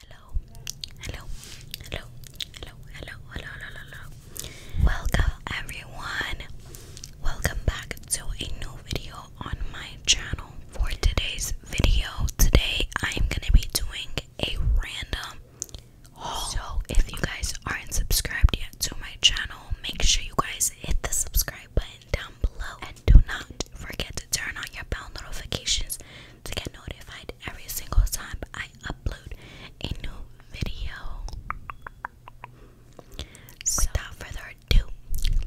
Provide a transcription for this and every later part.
Hello, hello, hello, hello, hello, hello, hello, hello. Welcome everyone. Welcome back to a new video on my channel. For today's video, today I'm gonna be doing a random haul. So if you guys aren't subscribed yet to my channel, make sure you guys hit the subscribe button down below and do not forget to turn on your bell notifications to get notified every single time I upload a new video. without further ado,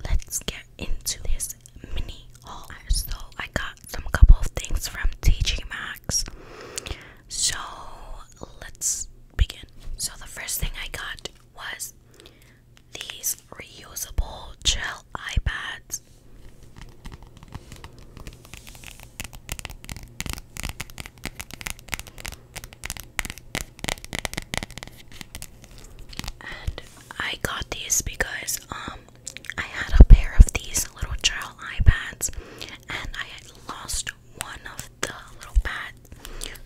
let's get into this mini haul. So I got some couple of things from TJ Maxx. So let's begin. So the first thing I got was these reusable gel iPads. And I got these because um I had a pair of these little gel iPads and I had lost one of the little pads.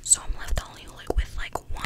So I'm left only with like one.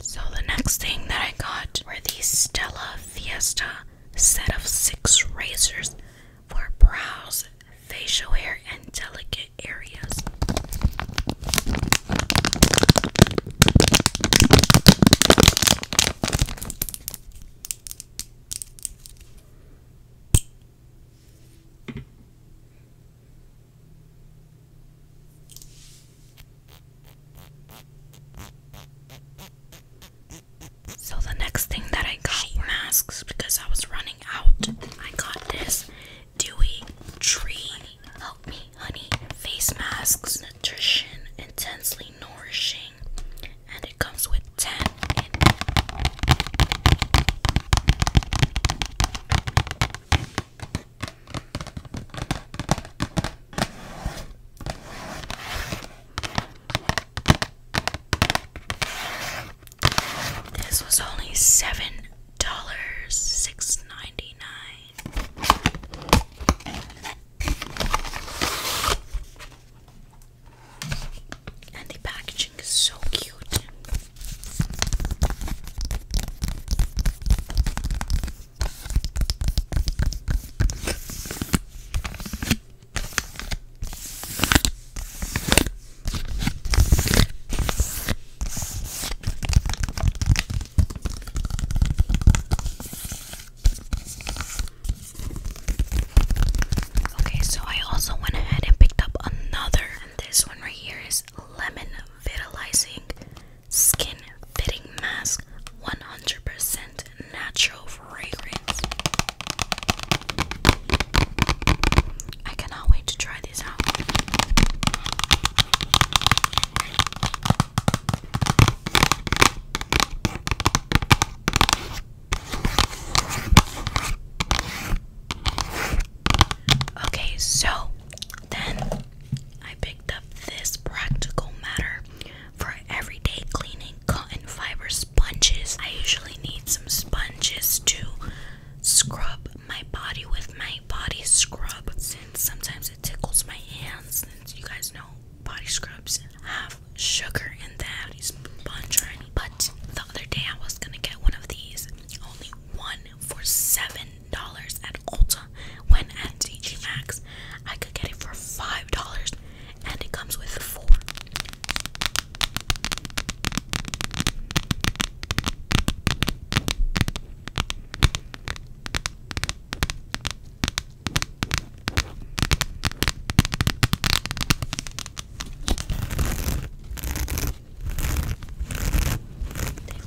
So the next thing that I got were these Stella Fiesta set of six razors for brows, facial hair, and delicate areas. So the next thing that I got were masks because I was running out. I got this Dewey Tree Help Me Honey face masks. Nutrition intensely nourishing and it comes with 10 in this was only seven dollars six ninety nine. And the packaging is so cute. Okay, so I also went ahead and picked up another. And this one right here is Lemon Vitalizing Skin Fitting Mask 100% Natural Fragrance. I cannot wait to try these out. Okay, so then I picked up this practical matter for everyday cleaning cotton fiber sponges. I usually need some sponges to scrub my body with my body scrub since sometimes it tickles my hands. Since you guys know body scrubs have sugar in them. These bunch or But the other day I was gonna get one of these. Only one for seven dollars at Ulta. When at TJ Maxx, I could get it for five dollars, and it comes with four. They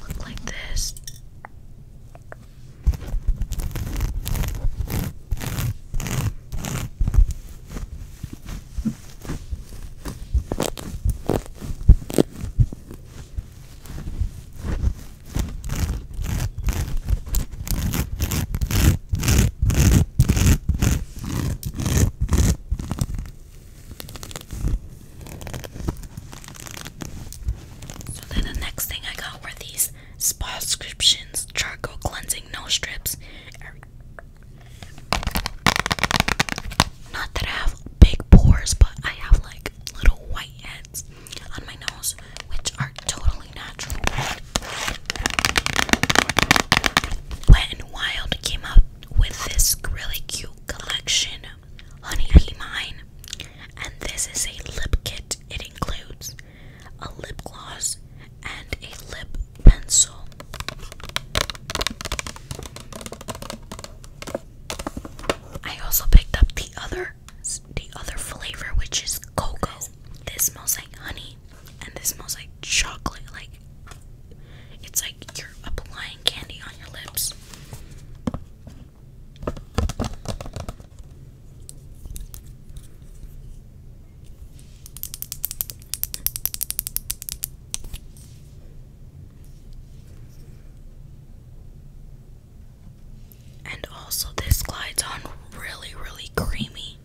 look like this. So then the next thing I got were these spa subscriptions charcoal cleansing nose strips. Not that I have big pores, but I have like little white on my nose, which are totally natural. Wet and Wild came out with this really cute collection, Honey Be Mine, and this is a lip kit. It includes a lip gloss and a lip pencil. I also picked up the other other the other flavor which is cocoa. This smells like honey and this smells like chocolate like it's like you're applying candy on your lips. And also, this glides on really, really creamy.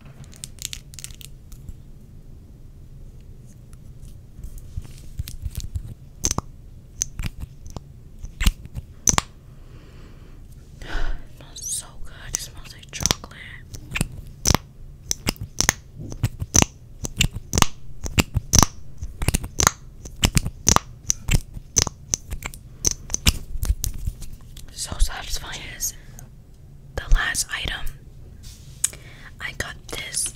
smells so good. It smells like chocolate. So satisfying is the last item. I got this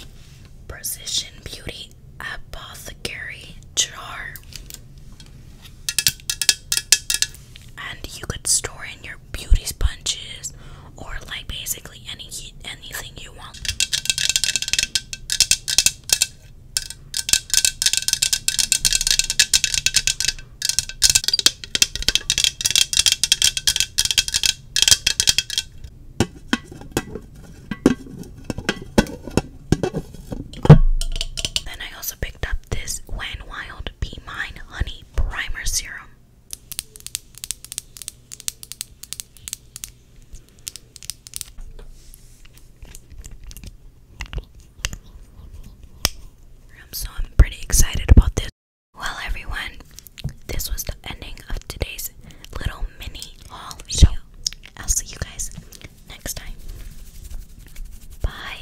Precision Beauty Apothecary jar. And you could store in your beauty sponges or like basically any anything you want. Then I also picked up this Wan Wild Be Mine Honey Primer Serum. So I'm pretty excited about this. Well, everyone, this was the ending of today's little mini haul show. I'll see you guys next time. Bye.